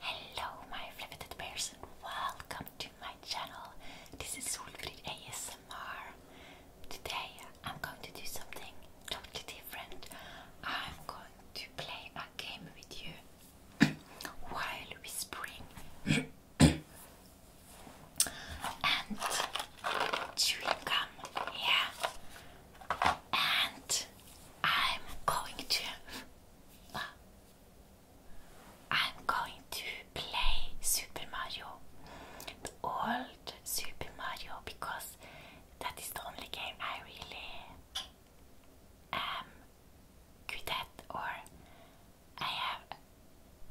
Hello my fliveted bears welcome to my channel. This is Solfrid ASMR. Today I'm going to do something totally different. I'm going to play a game with you while whispering and chewing gum. Yeah and I'm going to I'm going to play Super Mario, the old Super Mario, because that is the only game I really am good at, or I have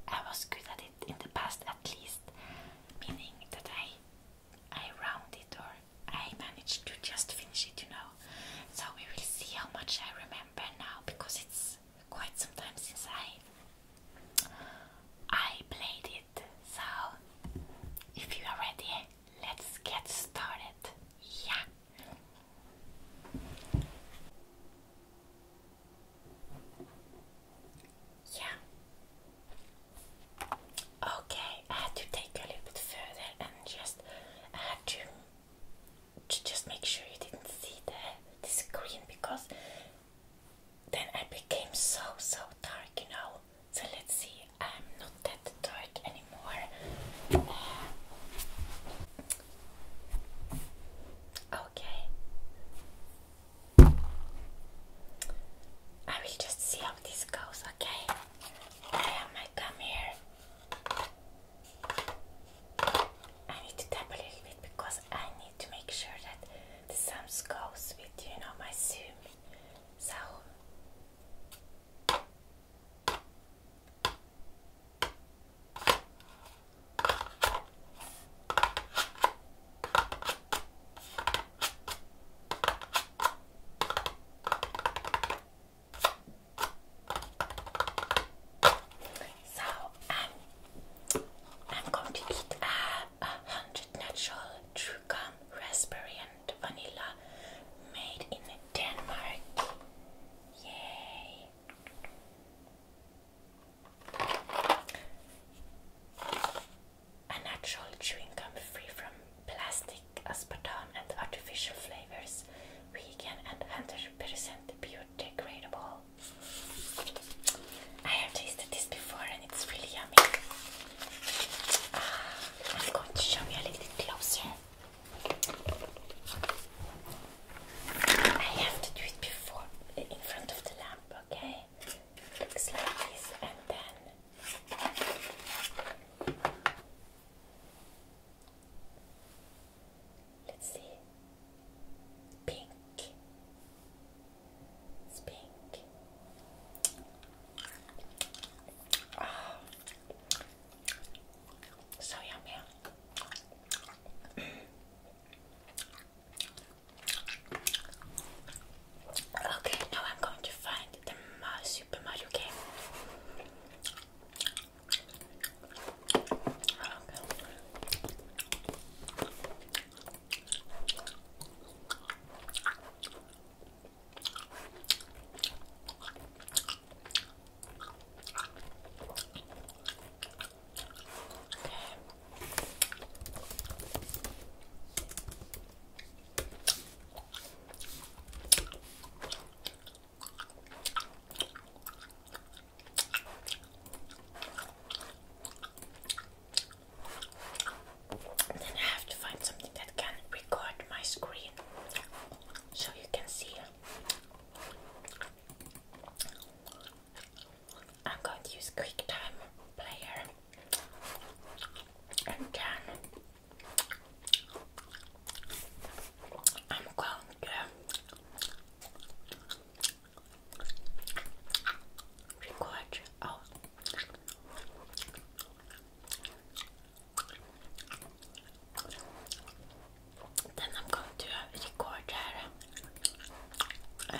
I was good at it in the past at least, meaning that I I round or I managed to just finish it, you know. So we will see how much I remember now because it's quite some time since I I played it. So if you are ready, let's get started. Yeah. Yeah, Okay, I had to take a little bit further and just to, just make sure you didn't see the, screen because then I became so so dark, you know. So let's see, I'm not that dark anymore. Uh, okay. I will just see how this goes, okay? I might come here. I need to tap a little bit because I need to make sure that the sounds goes with you know my zoom. So so um, I'm going to eat a hundred natural true gum raspberry and vanilla made in Denmark. Yay! a natural chewing gum free from plastic, aspartame, and artificial flavors, vegan and 100% biodegradable. I have tasted this before and it's really yummy. Uh, I'm going to show you a little closer. I have to do it before in front of the lamp, okay? looks like this, and then Let's see. Pink. It's pink. Ah. So yummy. Okay, now I'm going to find the Super Mario game. Okay. Then I have to find something that can record my screen so you can see. I'm going to use QuickTime Player and I'm going to record. Then I'm going to record um,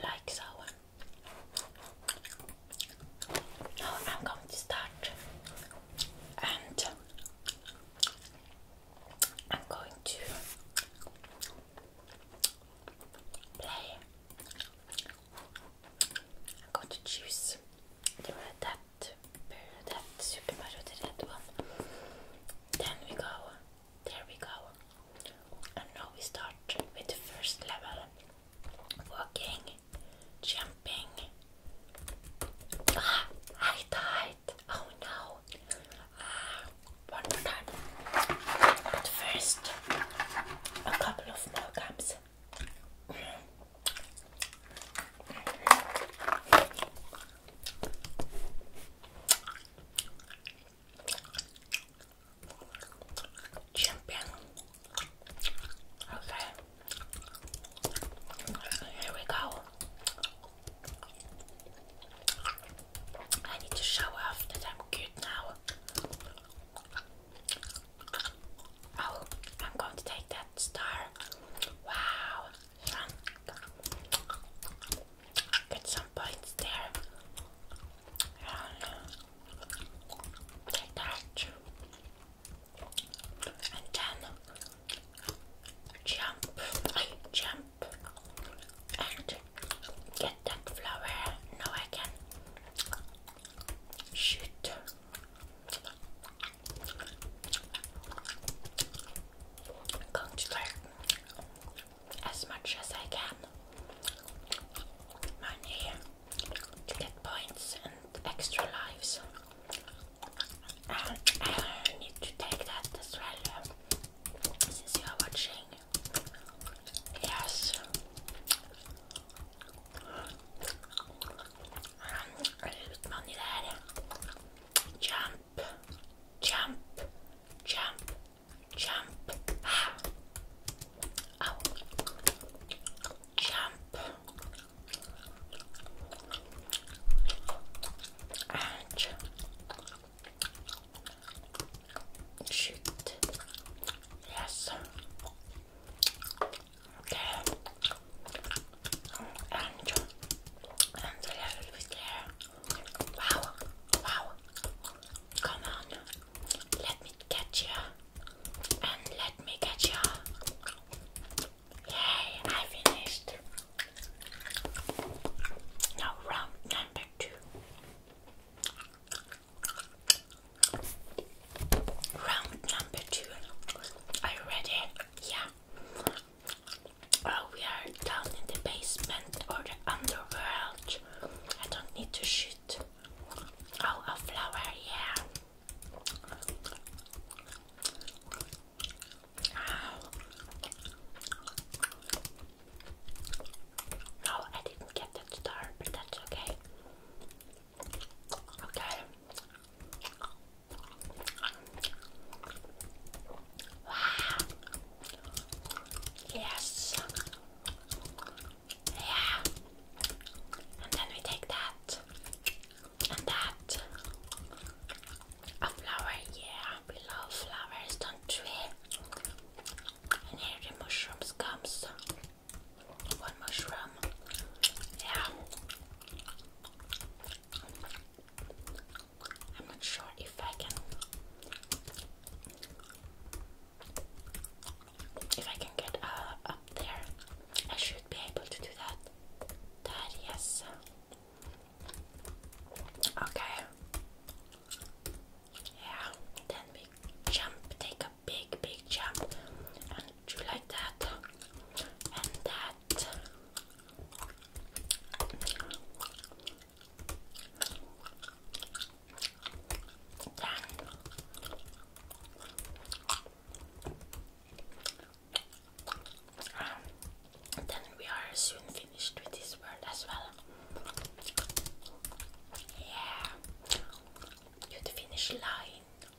Like so. Now I'm going to start and I'm going to play. I'm going to choose the red that, that Super Mario, the one. Then we go. There we go. And now we start with the first level. Walking, jumping. Ah, I die. Oh no. Uh, one more time. But first, a couple of more gums. Mm. Champion. Okay. Here we go. I need to show off that I'm good now. Oh, I'm going to take that star. Wow, Get some points there. And uh, take that. And then jump, jump and get that flower. Now I can shoot. Going as much as I can. Money to get points and extra lives. And I need to take that as since you are watching. Yes. Um, a little bit money there. Jump, jump, jump, jump. Ah. Oh. Jump. And Shoot. Yes. Okay. And and the level is there. Wow. Wow. Come on. Let me catch you. And let me catch you. Yay, I finished. Now, round number two. Round number two. Are you ready? Yeah. Oh, we are down in the basement or the underworld. I don't need to shoot. Oh, a flower, yeah. No, I didn't get that star, but that's okay. Okay. Wow. Yes. Yeah. And then we take that. And that. A flower, yeah, we love flowers, don't we? And here the mushrooms comes. One mushroom, yeah. I'm not sure if I can if I can get uh, up there. I should be able to do that. That yes. Okay. Yeah, then we jump, take a big, big jump, and do like that, and that then we are soon finished with this word as well. Yeah, to the finish line.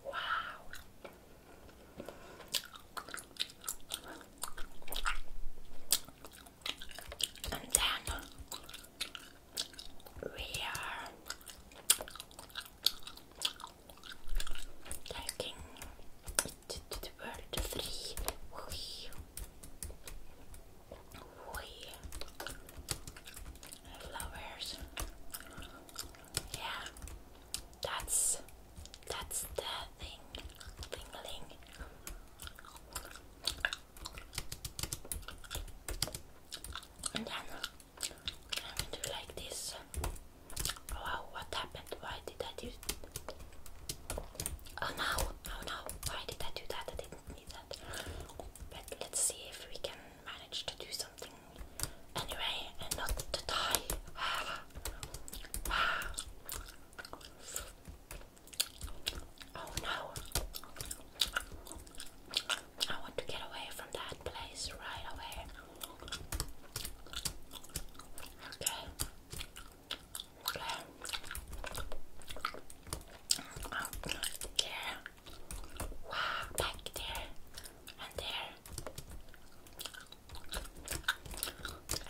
Wow. And then we are taking to, Flowers. Yeah, that's that's the thing. Tingling. And then I'm gonna do like this. Wow, what happened? Why did I do Oh no, oh no, why did I do that? I didn't need that. But let's see if we can manage to do something and not die. Oh no. I want to get away from that place right away. Okay. Out Wow, back there. And there.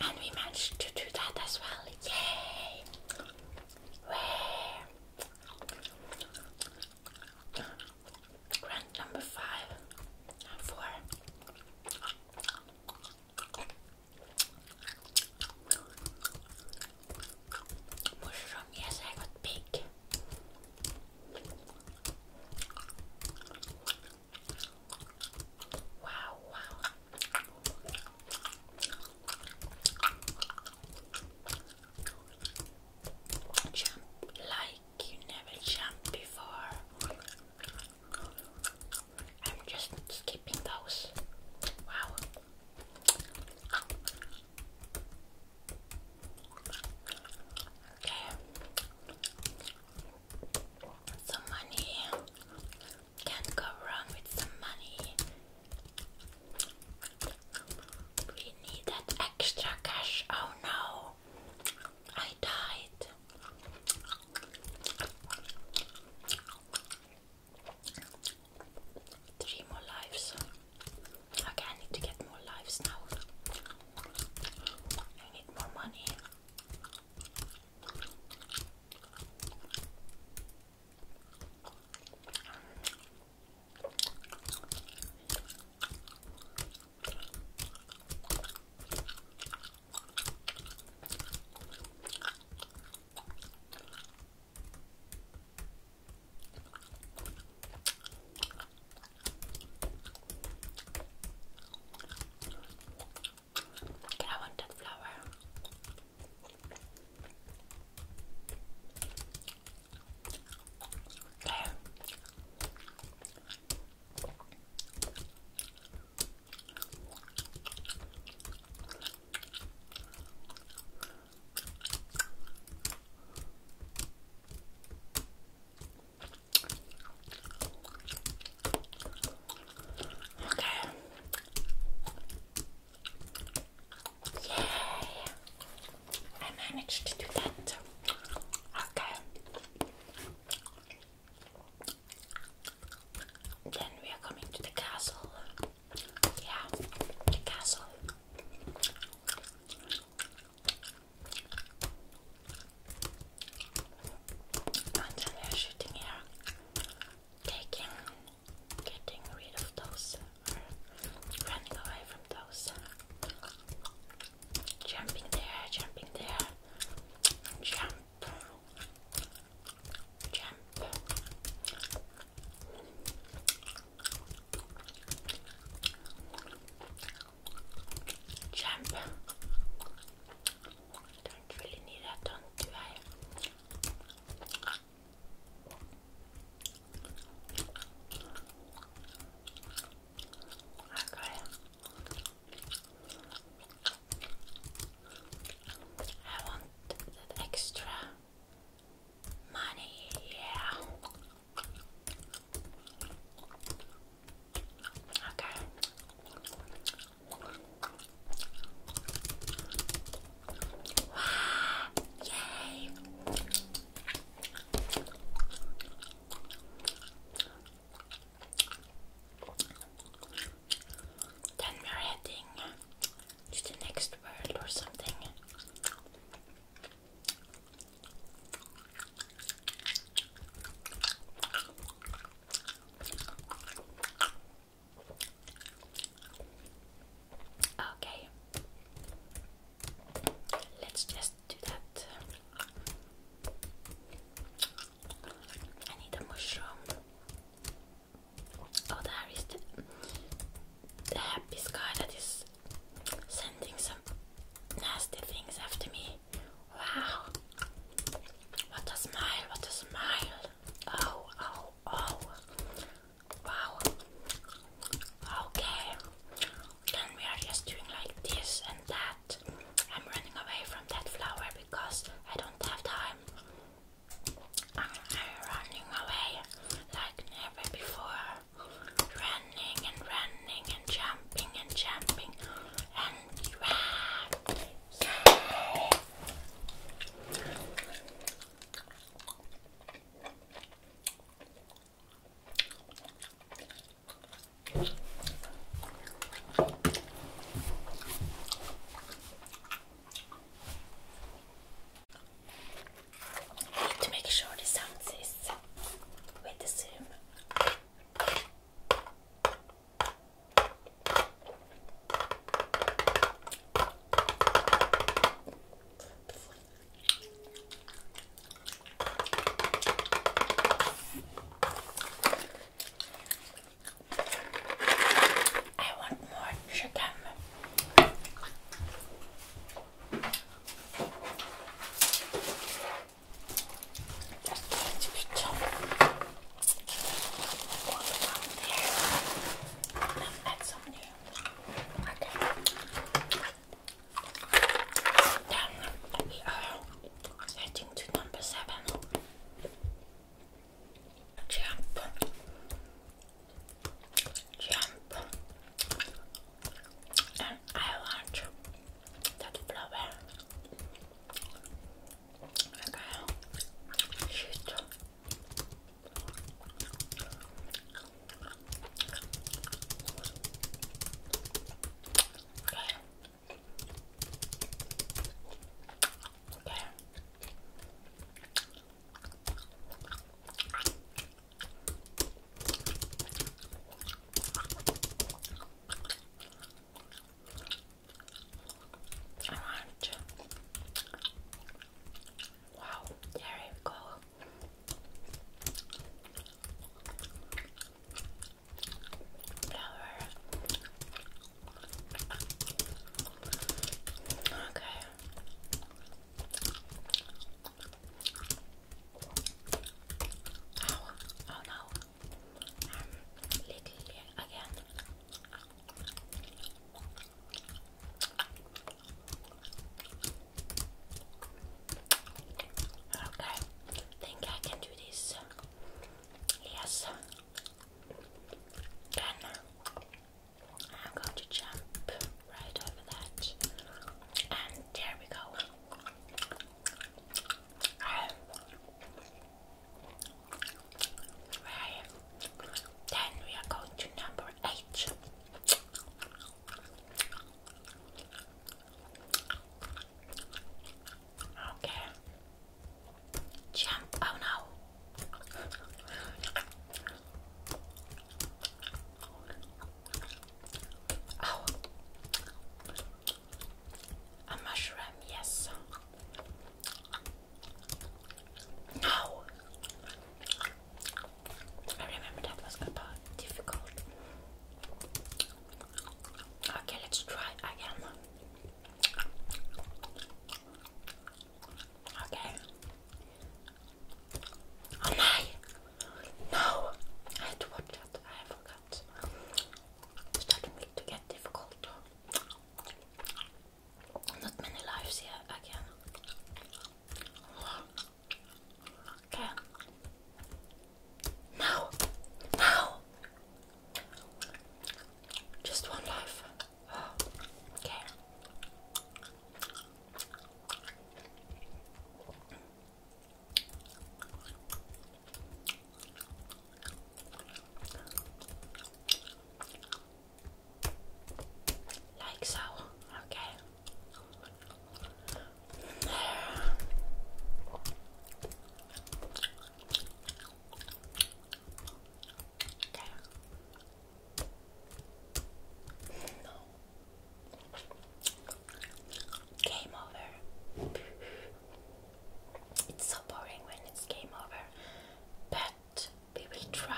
And we managed to do that as well. Yay! Where? Grant number five four. Mushroom, yes, I got big. Wow, wow. Jump like you never jumped before. I'm just skipping those. Wow. Okay. Some money. Can't go wrong with some money. We need that extra cash. Oh no. I died. Three more lives. Okay, I need to get more lives now. I need more money. Okay, I want that flower. Okay. Okay. Yay! I managed to do that. Okay. Then we are coming to the castle. Yeah, the castle. And then shooting here, taking, getting rid of those, running away from those. Jumping there, jumping there, jump jump. Jump. Don't really need that done, Okay. I want that extra money, yeah. Okay. Wow, yay. Then we're heading to the next world or something. Okay, let's just do that. I need a mushroom. Oh, there is the, happy sky that is sending some nasty things after me. Wow! What a smile, what a smile! Oh, oh, oh! Wow! Okay, then we are just doing like this and that. I'm running away from that flower because I don't have time. I'm, running away like never before. Running and running and jumping and jumping and run. I need to make sure the sound is with the zoom. I want more chicken. That's going to be tough. Add some new. Okay. Then we are heading to number seven. Jump, jump, and I want that flower. Okay, shoot. Okay. Okay. I want Wow, there you go. Okay. Oh, no. Oh, again. Okay, think I can do this Yes. Then I'm going to jump right over that. And there we go. right. Then we are going to number eight. Okay. Jump. Oh no. Oh. A mushroom, yes. No. I remember that was about difficult. Okay, let's try again. Okay. Oh my! No! I had to watch that. I forgot. starting to get difficult. Not many lives here again. Okay. Now, now, just one life. Oh, okay. Like so, okay. No. Game over. It's so boring when it's game over, but we will try.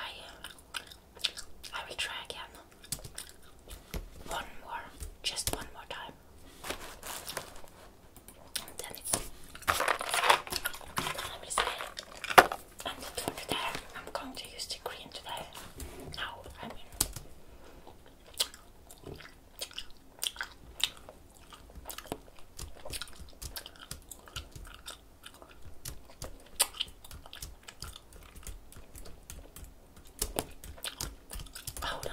I will try again. One more, just one more time. Deniz. I will say, I'm not doing it I'm going to use the green today. No, I mean. Hold on.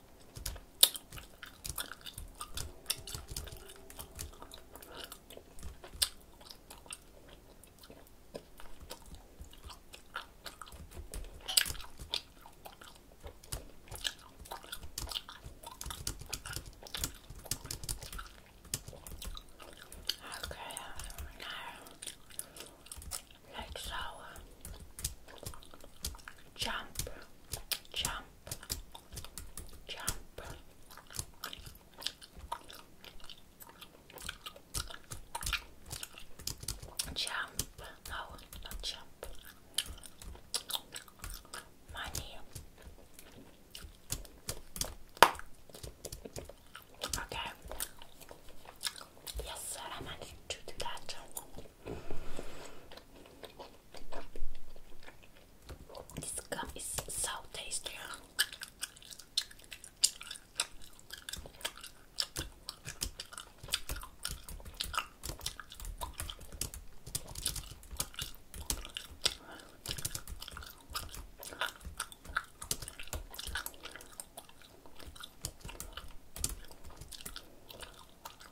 Okay, um, now let uh, jump, jump, jump. Jump. No, jump. Money. Okay. Yes, I managed to do that. This gum is so tasty.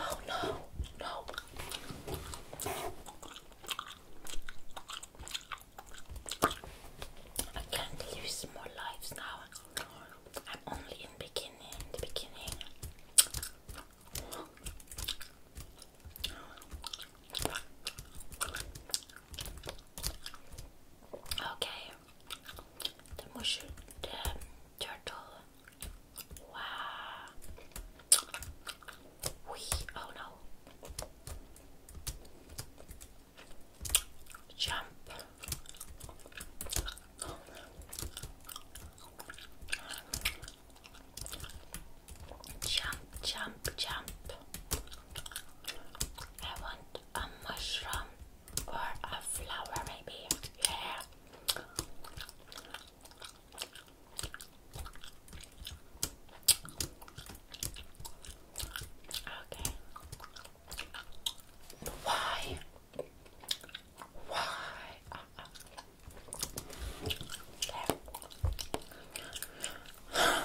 Oh no, no. I can't use more lives now. I'm only in beginning, the beginning. Okay, the mushroom, the turtle. Wow. We oh no. Jump. Jump, jump, jump. I want a mushroom or a flower, maybe. Yeah. Okay. Why? Why? Uh,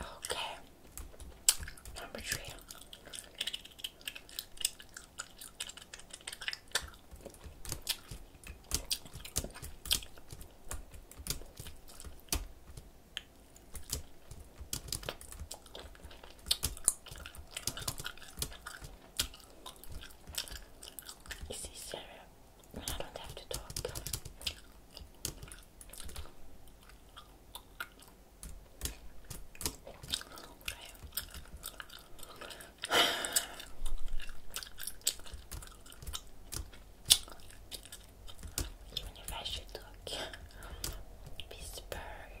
Okay, number three. It's easier when I don't have to talk. Even if I should talk. Pittsburgh. Flower.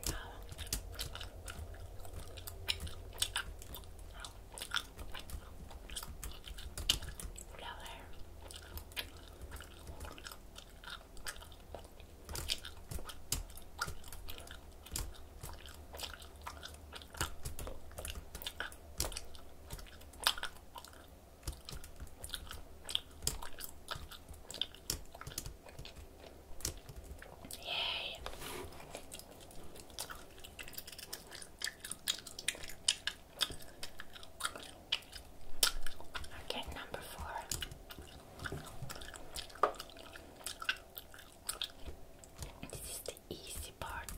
Yay. Okay, number four. This is the easy part.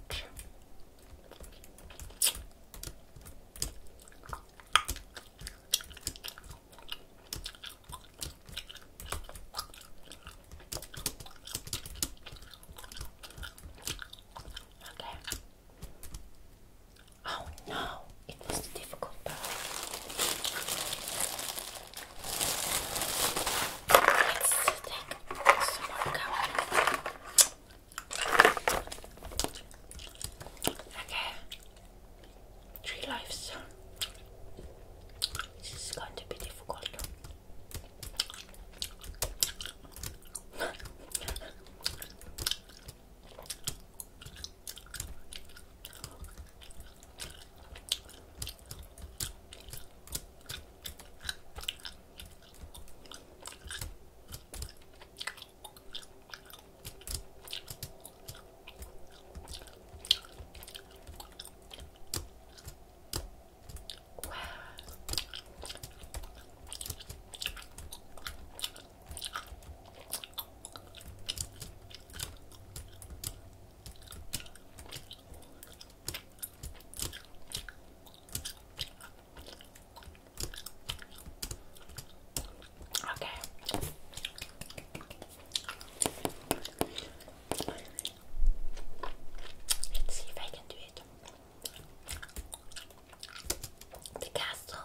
Okay. Oh no, it was the difficult part. Let's take some more cover. Okay three lives. This is going to be difficult. Wow. Okay. Let's see if I can do it. The castle.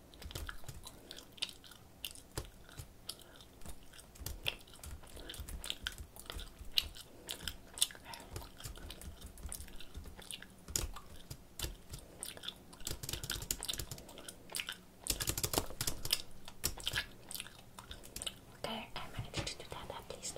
There, I managed to do that at least.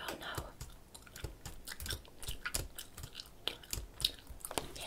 Oh no. Yay.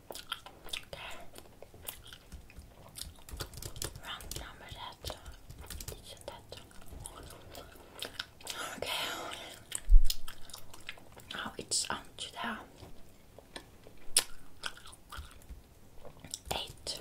Okay. Round number that. It's that. Okay. Now it's on to the eight.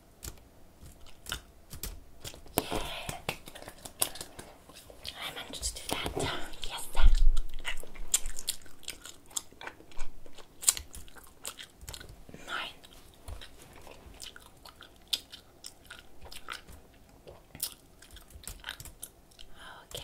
Yeah. I managed to do that. Yes. Nine. Okay.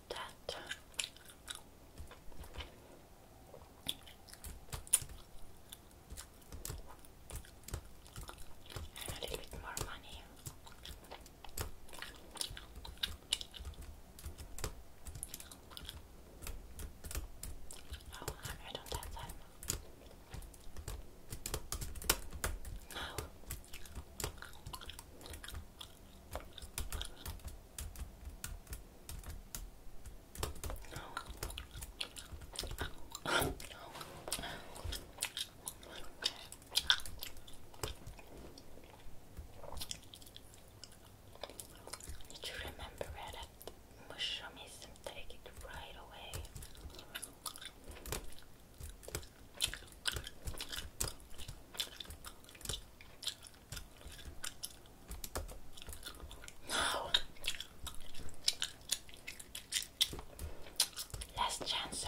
that. And a little bit more money. Oh, I don't have that. No. Did you remember where that and take it right away? Now, last chance.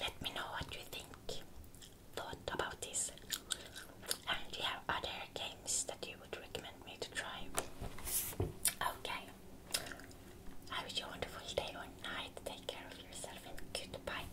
let me know what you think, thought about this, and do you have other games that you would recommend me to try? Okay, have a wonderful day or night. Take care of yourself and goodbye.